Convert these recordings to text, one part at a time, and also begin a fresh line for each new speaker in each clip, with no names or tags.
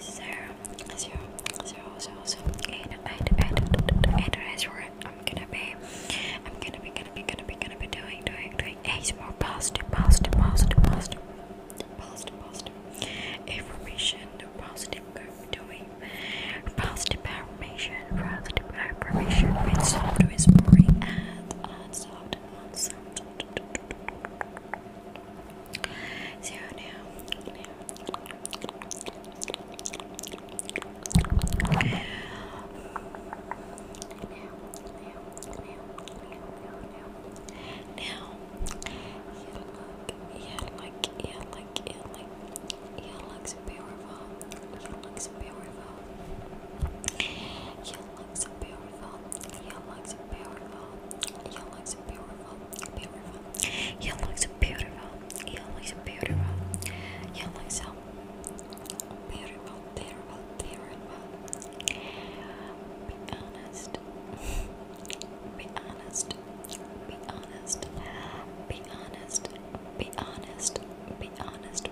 Zero, zero, zero, zero, zero, eight, eight, eight, eight, eight, I'm gonna be, I'm gonna be, gonna be, gonna be, gonna be doing, doing, doing ASMR positive, positive, positive, positive, positive, positive information, positive, doing positive affirmation, positive affirmation with soft whispering and unsoft, unsoft, so now, now, now, now,
you look, you look, you look, you look, you look beautiful. You look beautiful. You looks beautiful. You looks beautiful. You looks beautiful. Beautiful. You looks beautiful. You looks beautiful. You looks so beautiful. Terrible. Terrible.
Be honest. Be honest. Be honest. Be honest. Be honest. Be honest.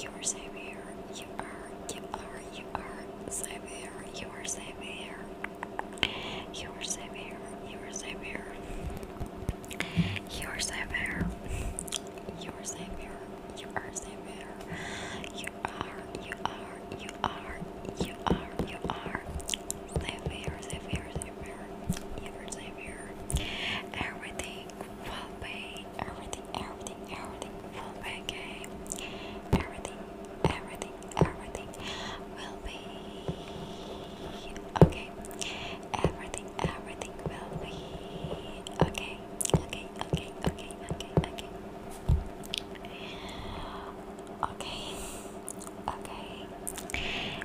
You are savior, you are, you are, you are savior, you are savior, you are savior, you are savior, you are savior, you are savior, you are savior, you are, you are, you are, you are, you are savior, savior, savior, you are savior. Everything pay, full everything, everything, everything, full pay, okay? Everything, everything, everything will be okay. okay. Okay, okay, okay, okay, okay. Okay, okay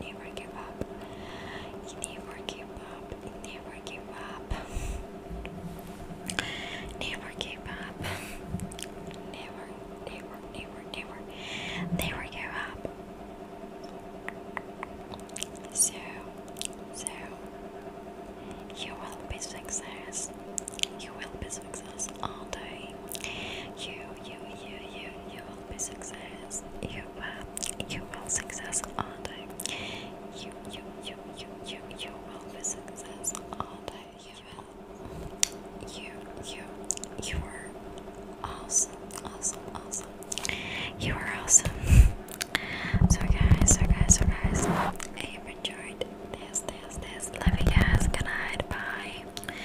never give up. You never give up. You never give up. never give up. never, never, never, never, never give up. So, so you will be success. You will be success all day. You, you, you, you, you will be success. You you will success all day. You you you you you you will be success all day. You will you you you are awesome awesome awesome. You are awesome. so guys, so guys, so guys, I have enjoyed this this this. Love you guys. Good Bye.